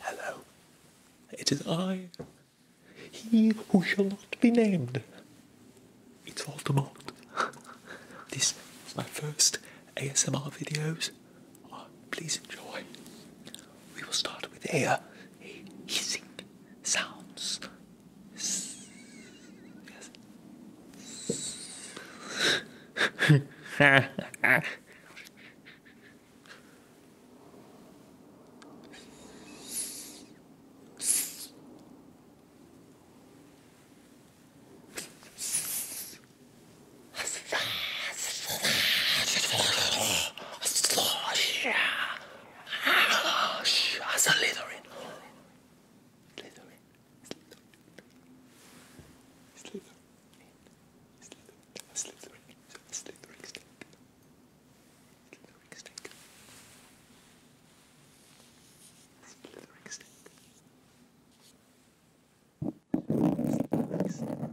Hello, it is I, he who shall not be named. It's all Voldemort. this is my first ASMR videos. Oh, please enjoy. We will start with air hissing sounds. Slithering. Slithering. Slithering. Slithering. Slithering. Slithering. Slithering stick. Slithering stick. Slithering stick. Soup or salad?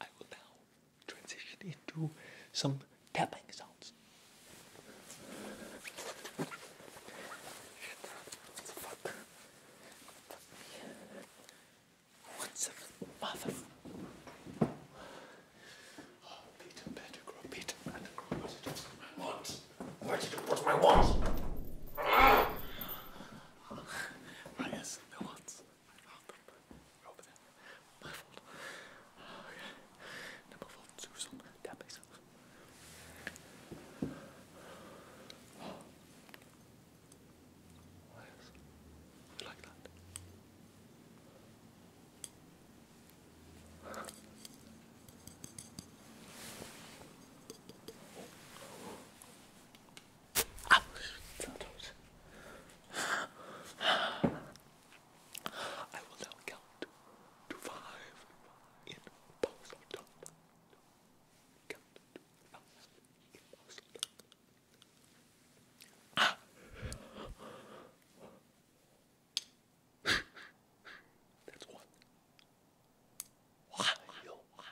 I will now transition into some tapping sounds. Fuck. What's the mother? Oh, Peter Peter Pettigrew, what is it? What? What is my want? Ah! I guess no one's. I found them over there. My fault. Okay. Oh, Number four, Susan. That makes sense. What is? I like that. 아, I will now count to five in pause Count to five in pause that's one. Five, five, ah.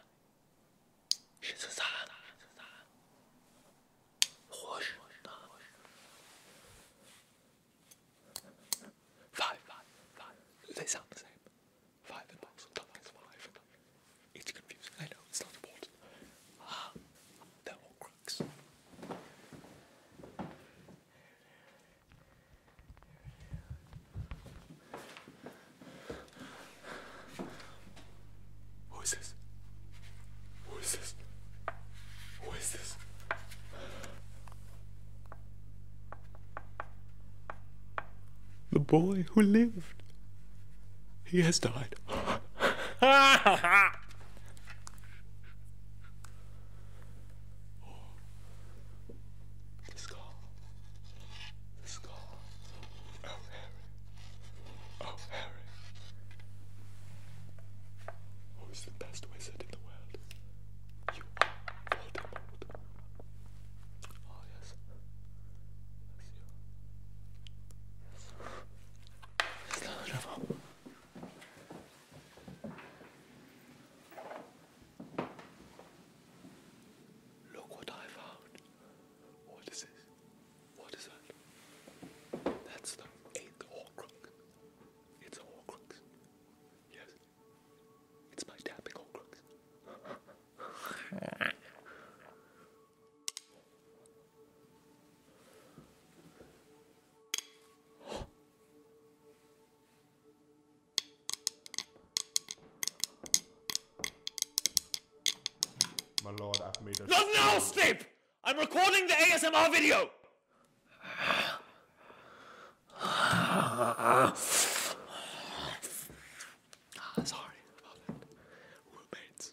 five. They sound the same. Five and five. It's confusing. I know. It's not important. Ah, they're all crooks. Who is this? Who is this? Who is this? The boy who lived. He has died. Let's go. Let's go. Oh, Harry. Oh, Harry. Who is the best wizard in the world? You are Voldemort. Oh, yes. That's you. Yes. That's wonderful. Look what I found. What is this? What is that? That's the eighth Horcrux. It's a Horcrux. Yes. It's my tapping Horcrux. My lord, I've made a. Not now, Snape! I'm recording the ASMR video! Ah, sorry about that. Roommates.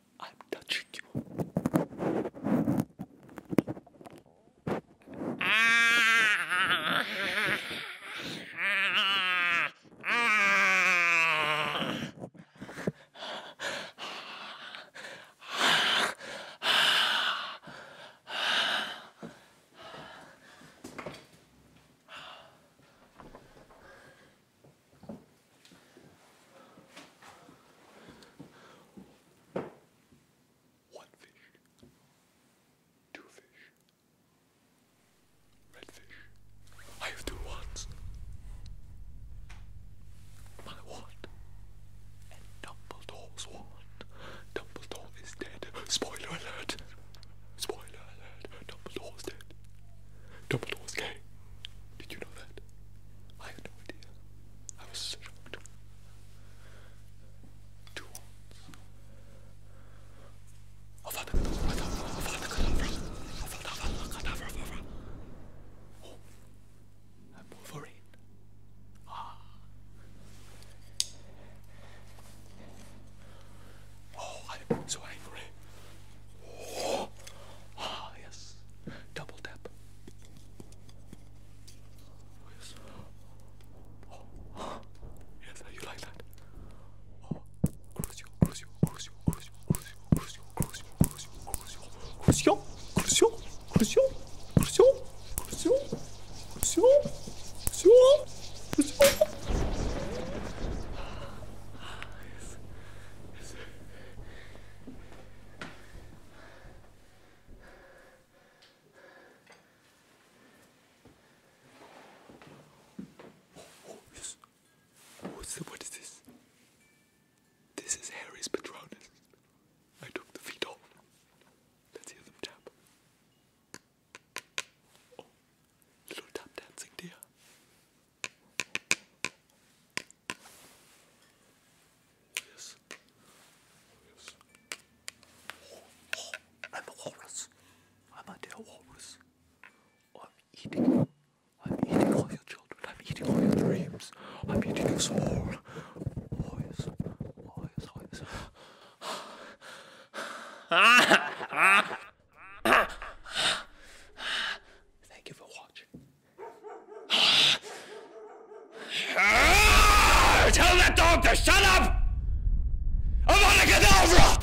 I'm touching you. Ah, ah, ah. One fish, two fish, red fish. I have two wands. My wand and Dumbledore's wand. Dumbledore is dead. Spoiler alert. Spoiler alert. Dumbledore's dead. Dumbledore's gay. Did you know that? I had no idea. I was shocked. Two ones. Oh, I'm Wolverine. Ah. Oh, I'm so angry. Ah, yes. Double tap. yes. Oh. Ah. Yes, you like that? Oh, crucio, crucio, crucio, crucio, crucio, crucio, crucio, crucio, crucio, crucio, crucio, crucio, crucio what is this? This is Harry's Patronus. I took the feet off. Let's hear them tap. Oh, little tap dancing dear. Yes. Yes. Oh, oh, I'm a walrus. I'm a dear walrus. I'm eating. I'm eating all your children. I'm eating all your dreams. I'm eating your soul. Oh yes. Oh yes. Oh yes. Thank you for watching. Tell that dog to shut up! I want to get over!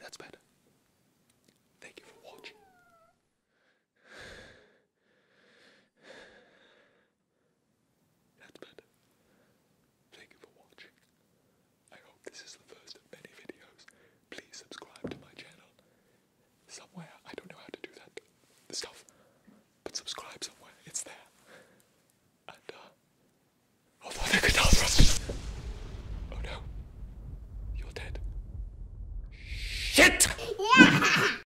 That's better. Thank you for watching. That's better. Thank you for watching. I hope this is the first of many videos. Please subscribe to my channel. Somewhere, I don't know how to do that stuff, but subscribe somewhere, it's there. And, uh, oh, the guitar thrusters! Oh no, you're dead. Shit!